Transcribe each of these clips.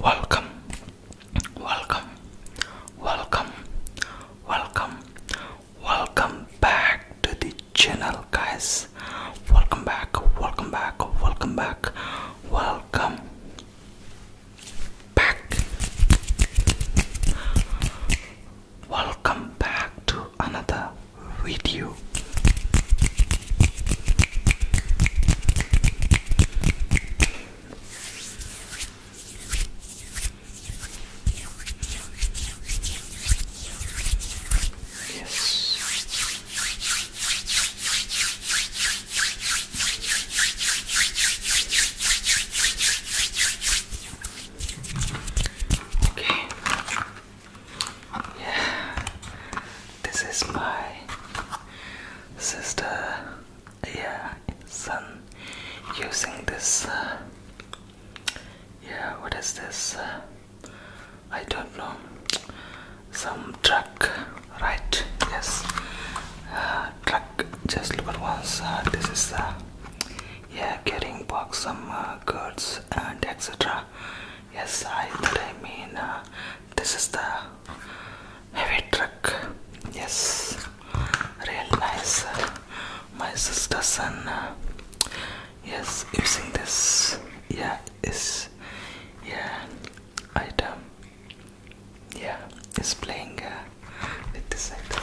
Welcome, welcome, welcome, welcome, welcome back to the channel guys welcome back welcome back welcome back welcome back welcome back to another video Yes. Okay. Yeah. This is my sister. Yeah. Some using this. Uh, yeah, what is this? Uh, I don't know. Some truck, right? Yes, uh, truck. Just look at once. this is uh, yeah, carrying box, some goods and etc. Yes, I thought I mean this is the heavy truck. Yes, real nice uh, my sister's son uh, yes using this yeah is yeah item yeah is playing uh, with this item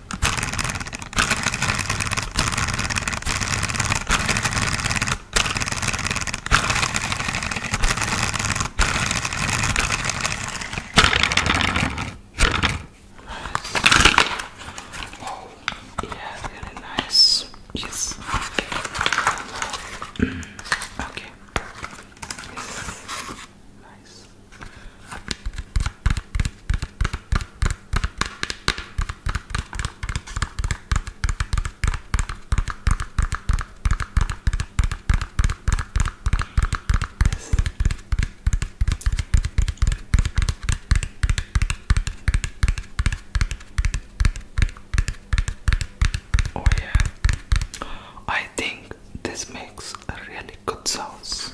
Oh, yeah, very nice. Yes. Okay. okay. Yes. Nice. Oh yeah. I think this makes a really good sauce.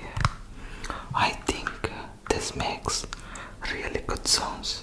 Yeah. I think uh, this makes really good sounds.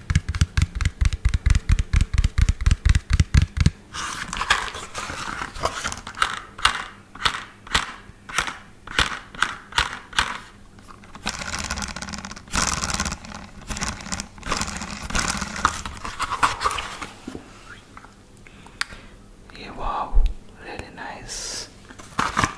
Yeah, wow, really nice.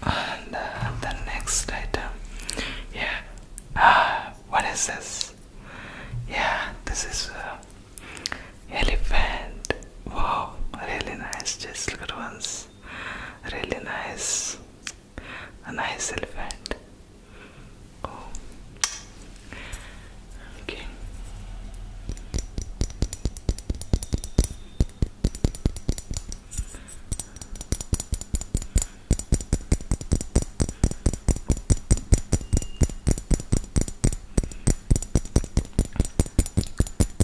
And uh, the next item, yeah. Ah, what is this? Yeah, this is a elephant wow really nice just look at once really nice a nice elephant oh okay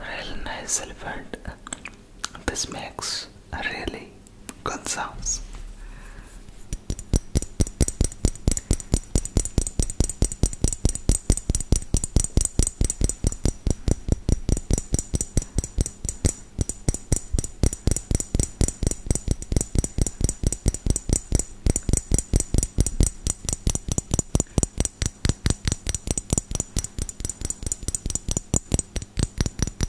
Real nice This makes a really gun sounds.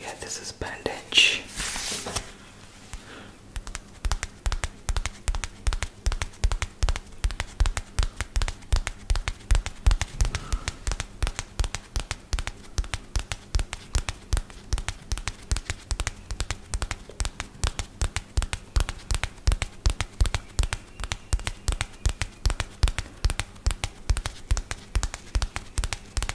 Yeah, this is bandage.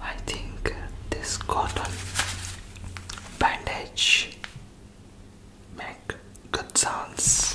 I think this cotton bandage make good sounds.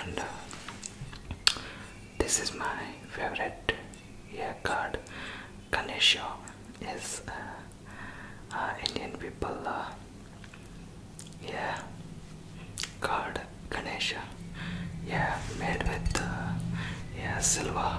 And uh, this is my favorite yeah, god Ganesha is uh, uh, Indian people. Uh, yeah, god Ganesha. Yeah, made with yeah silver.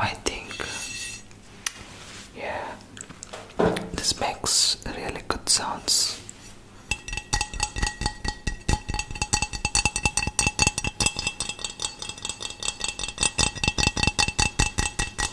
I think, yeah, this makes really good sounds.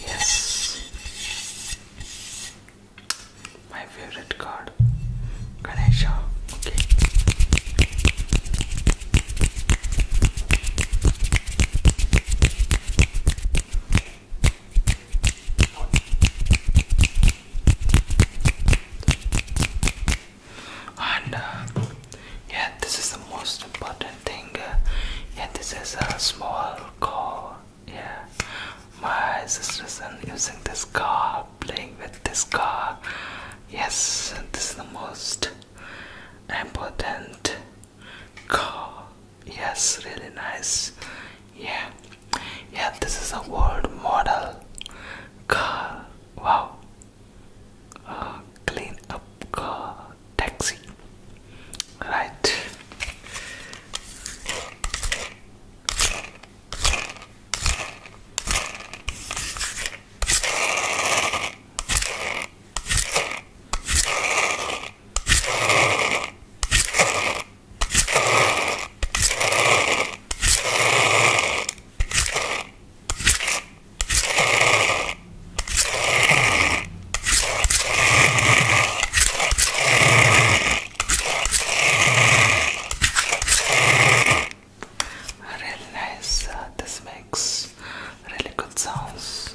Yes, my favorite card, Ganesha. Okay and uh, yeah this is the most important thing uh, yeah this is a small car yeah my sister's and using this car playing with this car yes this is the most important car yes really nice yeah yeah this is a world model car wow clean up car taxi right Really nice. Uh, this makes really good sounds.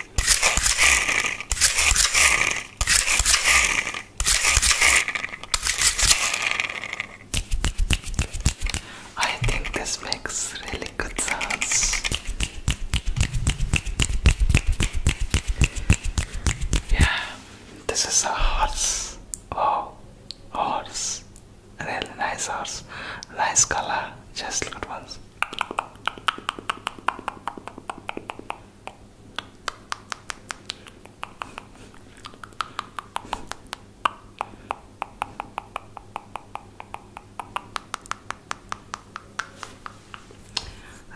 I think this makes really good sounds. Yeah, this is a horse. Oh, horse. Really nice horse. Nice color. Just look at once.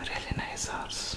A really nice house.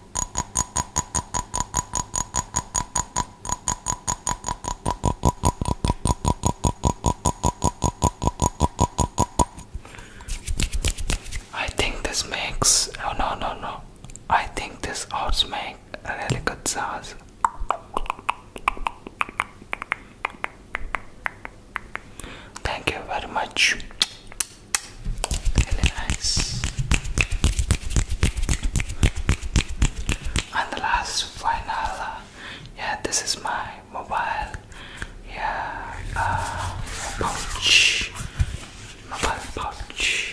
I think this makes oh no no no I think this also makes a really good sauce Thank you very much Really nice and the last final uh, yeah this is my mobile yeah uh, pouch mobile pouch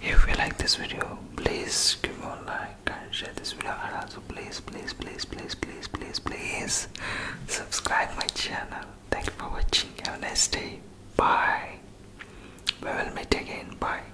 If you like this video, please give a like and share this video and also please please please please please please please subscribe my channel. Thank you for watching. Have a nice day. Bye. We will meet again. Bye.